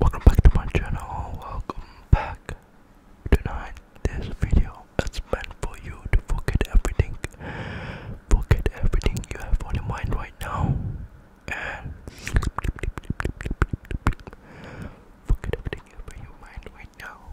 Welcome back to my channel, welcome back. Tonight, this video is meant for you to forget everything. Forget everything you have on your mind right now. forget everything you have on your mind right now.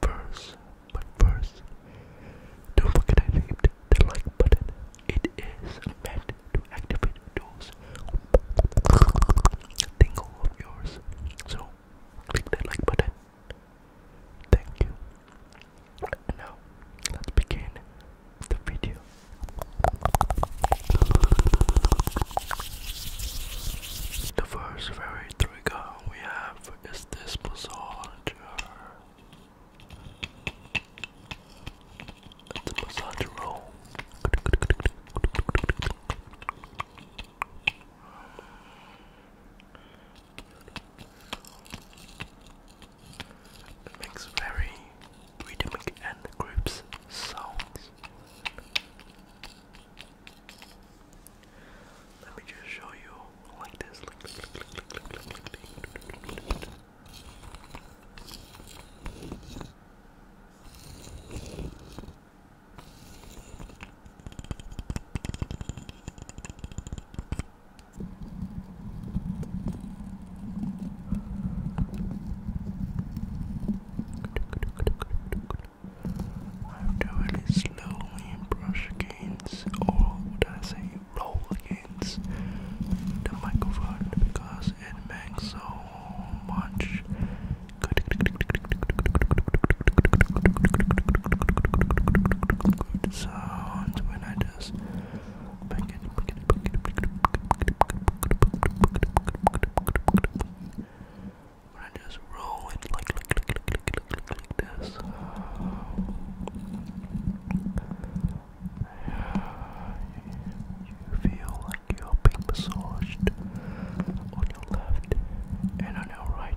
first, my first. Don't forget I named the like button. It is meant to activate those tingle of yours. So click that like button. Thank you. now let's begin the video. The first very there we go. We have is this massager? It's a roll. makes very rhythmic and groups sounds. Let me just show you like this. I have to really slowly brush against, or would I say roll against, the microphone because it makes so much good, when I just i just roll it like, like, like, like, like, like, like this. You feel like you're being massaged on your left and on your right.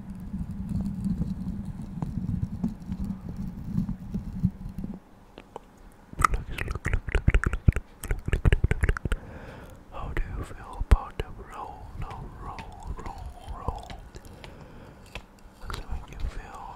How do you feel about the roll, roll, roll, roll, roll? Does you feel?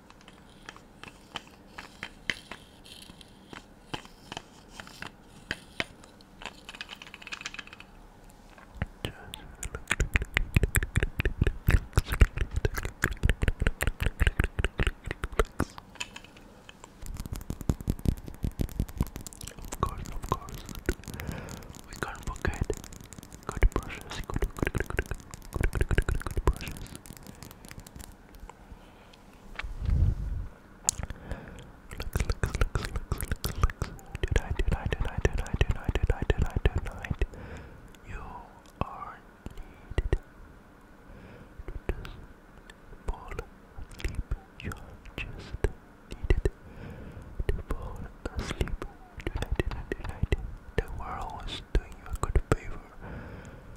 Of course, of course. We can't good brushes. good, good, good, good brushes. Tonight, tonight, tonight, tonight, tonight, tonight, tonight, tonight. You are needed to just You are just needed to fall asleep. Tonight, tonight, tonight. The world is doing you a good favor.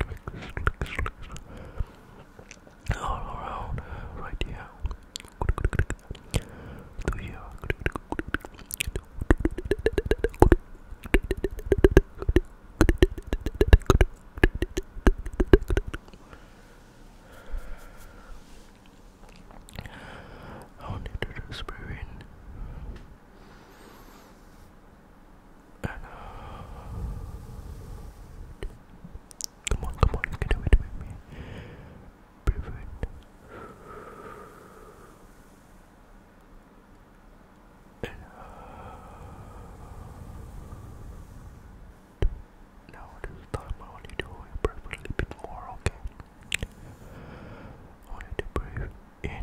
clicks, clicks, clicks. All around, right here. To here. I wanted to just breathe in. And come on, come on, you can do it with me. Breathe in. now this time I you to breathe a little bit more, okay? I want to breathe in.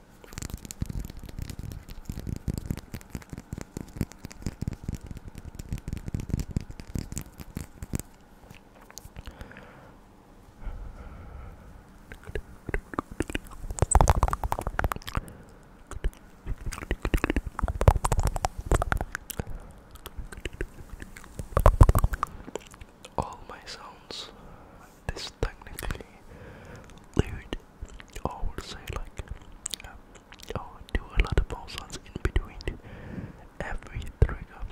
All my sounds this technically lewd, I would say like, um, oh, do a lot of ball sounds in between every trigger,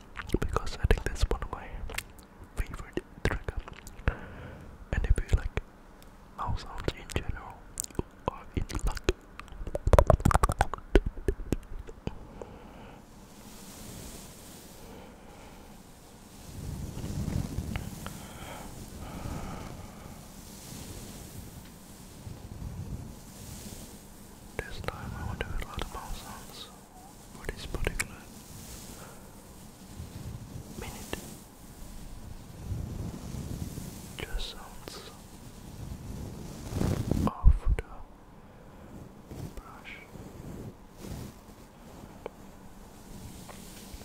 because I think that's one of my favorite trigger. And if you like mouse sounds in general, you are in luck. This time I will do a lot of sounds for this particular minute. Just sounds off the brush.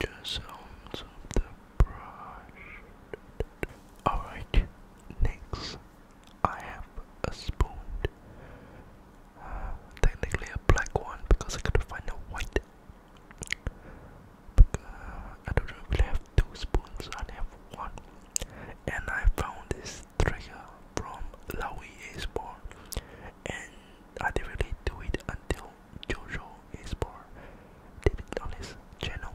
The sounds the brush. Alright, next I have a spoon. Uh, technically a black one because I couldn't find a white. But, uh, I don't really have two spoons, I have one and I found this trigger from Laoi Esport and I didn't really do it until Jojo Esport did it on his channel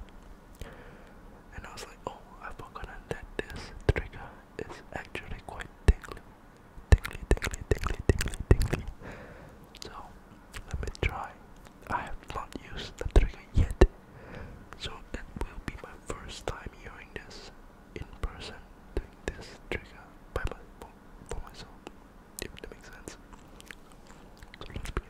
and I was like oh I've forgotten that this trigger is actually quite tingly tingly tingly tingly tingly tingly so let me try I have not used the trigger yet so it will be my first time hearing this in person doing this trigger by my, for myself, if that makes sense. So let's begin.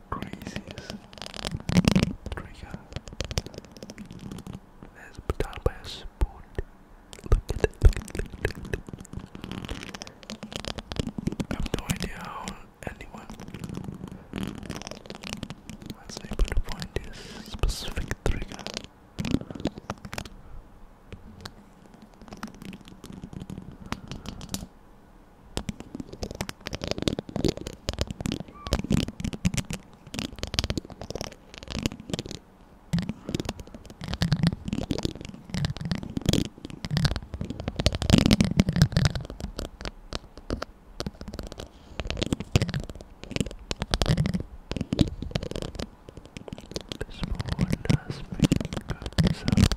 craziest trigger that's done by a spoon. Look at it, I have no idea how anyone was able to find this specific trigger. This one does make good sounds.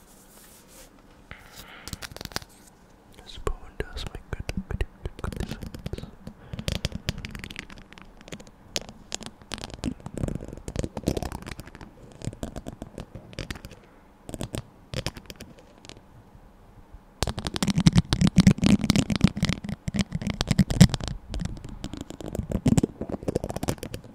Spoon does make good, good, good, good sense.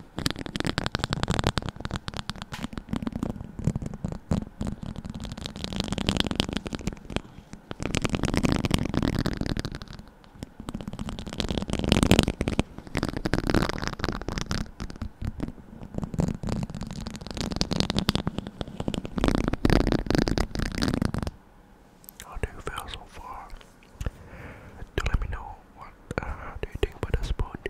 How do you feel so far? Do let me know what uh, do you think about the sport.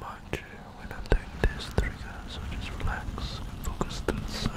Mind you, when I'm doing this trigger, so just relax and focus on the sounds.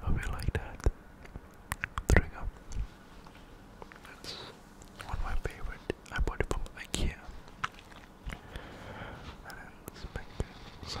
Hope you like that. Drink up. That's one of my favorite. I bought it from IKEA. I did such great. So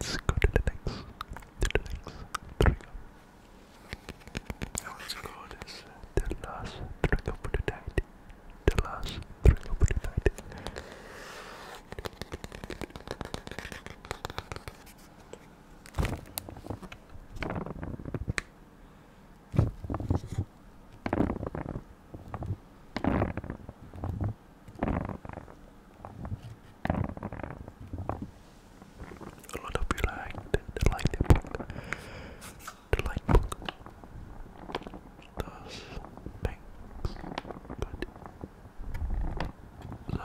Let's go to the next, the next trigger. Now let's go this the last trigger for the night. The last trigger for the night. A lot of you like the, the light The book does things good. So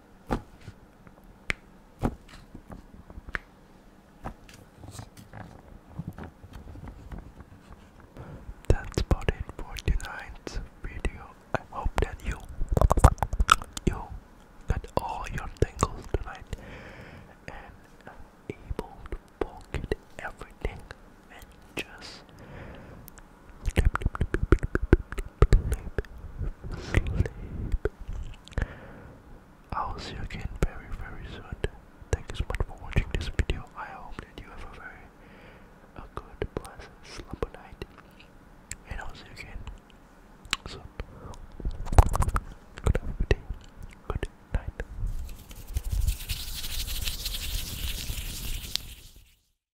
That's about it for tonight's video. I hope that you you got all your tingles tonight and able to pocket everything and just sleep. I will see you again very, very soon. Thank you so much for watching this video. I hope that you have a very a good, pleasant slumber night. And I'll see you again soon. Good have a Good night.